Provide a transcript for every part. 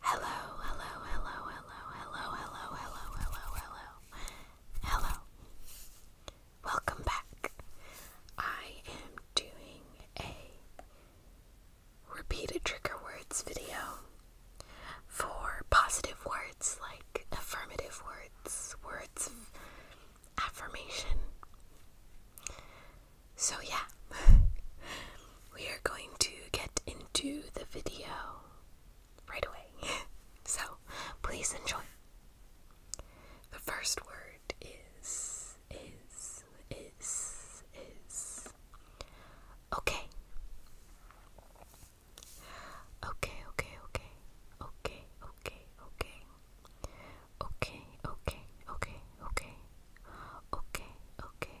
Hello, hello, hello, hello, hello, hello, hello, hello, hello, hello. Welcome back. I am doing a repeated trigger words video for positive words like affirmative words, words of affirmation. So, yeah. we are going to get into the video right away. so please enjoy. The first word is, is, is, is. Okay. Okay, okay, okay. Okay, okay, okay. Okay, okay, okay, okay. Okay, okay,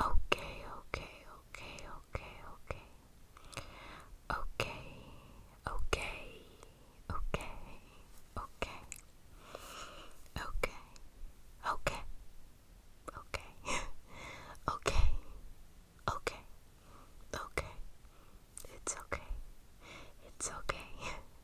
Okay, okay, okay, okay, okay. Okay, okay, okay, okay. Okay, okay, okay, okay, okay, It's okay. It's okay.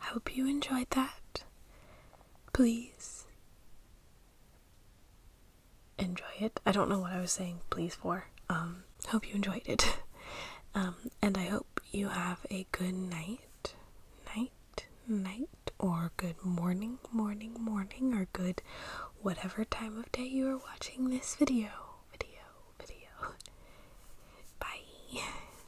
I hope you enjoyed that. Please enjoy it. I don't know what I was saying please for. Um hope you enjoyed it. um and I hope you have a good night. Night, night or good morning, morning, morning or good whatever time of day you are watching this video. Video, video. Bye.